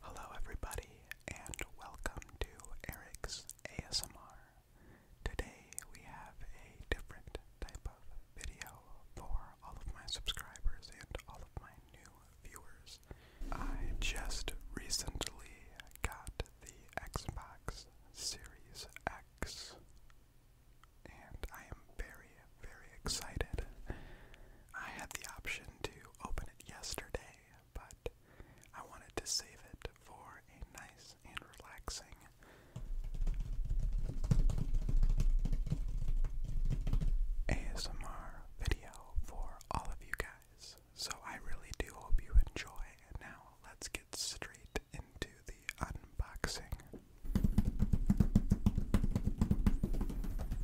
Hello, everybody, and welcome to Eric's ASMR. Today we have a different type of video for all of my subscribers and all of my new viewers. I just recently got the Xbox Series X, and I am very, very excited. I had the option to open it yesterday but I wanted to save it for a nice and relaxing ASMR video for all of you guys. So I really do hope you enjoy. And now let's get straight into the unboxing.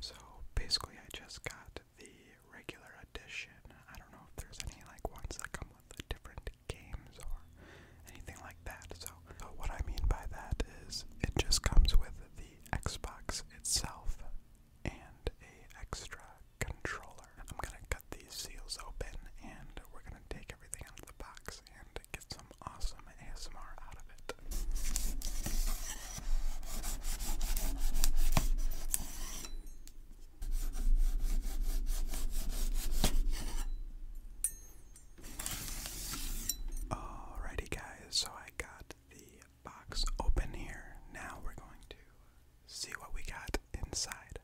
So basically, I just got the regular edition. I don't know if there's any like ones that come with different games or anything like that. so what I mean by that is it just comes with the Xbox itself and a extra controller. I'm gonna cut these seals open and we're gonna take everything out of the box and get some awesome ASMR out of it. Alrighty, guys, so I got the box open here. Now we're going to see what we got inside.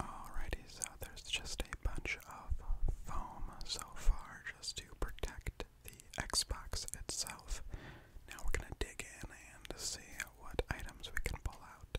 Alrighty, so there's just a bunch of foam so far just to protect the Xbox itself. Now we're gonna dig in and see what items we can pull out.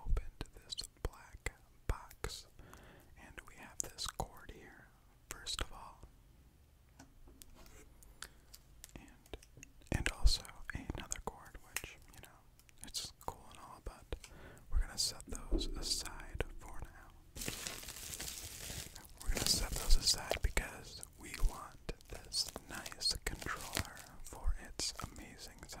opened this black box, and we have this cord here, first of all, and and also another cord, which you know it's cool and all, but we're gonna set those aside for now. We're gonna set those aside because we want this nice controller for its amazing sound.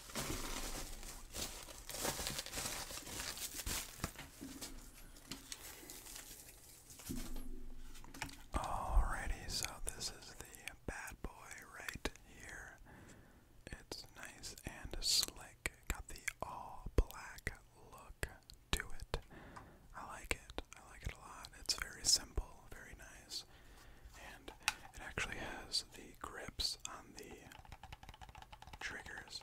Alrighty, so this is the bad boy right here. It's nice and slick. Got the all black look to it. I like it. I like it a lot. It's very simple, very nice, and it actually has the grips on the triggers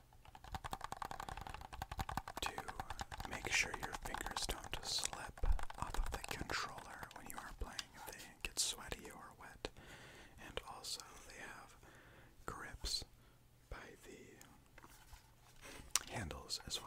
to make sure your fingers don't slip off of the controller when you are playing if they get sweaty or wet. And also, they have grips by the handles as well.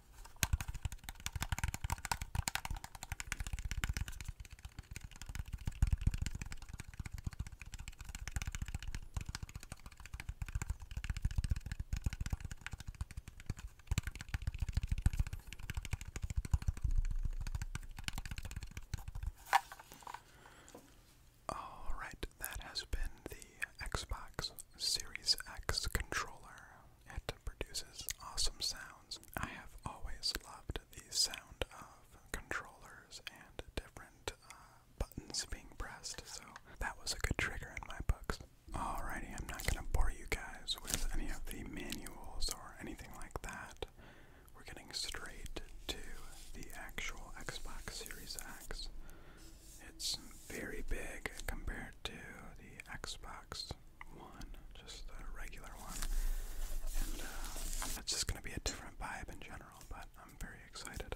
Alright, that has been the Xbox Series X controller it produces awesome sounds. I have always loved the sound of controllers and different uh, buttons being pressed, so that was a good trigger in my books. Alrighty, I'm not gonna bore you guys with any of the manuals or anything like that. We're getting straight to the actual Xbox Series X. It's very big compared to the Xbox One, just the regular one. And uh, it's just going to be a different vibe in general, but I'm very excited.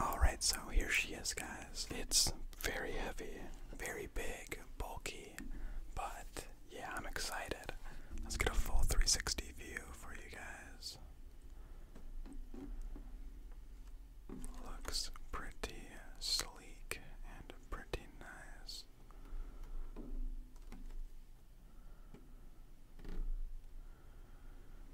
Alright, so here she is, guys. It's very heavy, very big, bulky, but yeah, I'm excited. Let's get a full 360 view for you guys. Looks pretty sleek and pretty nice.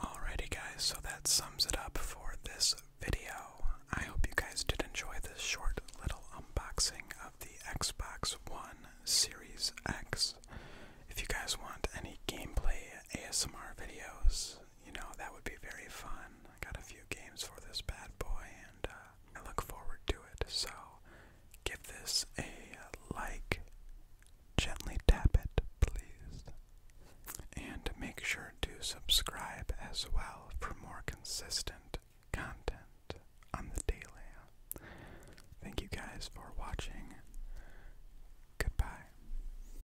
Alrighty, guys, so that sums it up for this video. I hope you guys did enjoy this short little unboxing of the Xbox One Series X. If you guys want any gameplay ASMR videos, you know, that would be very fun. I got a few games for this bad boy, and uh, I look forward to it. So, give this a uh, like. Gently tap it, please. And make sure to subscribe as well for more consistent content on the daily. Thank you guys for watching. Goodbye.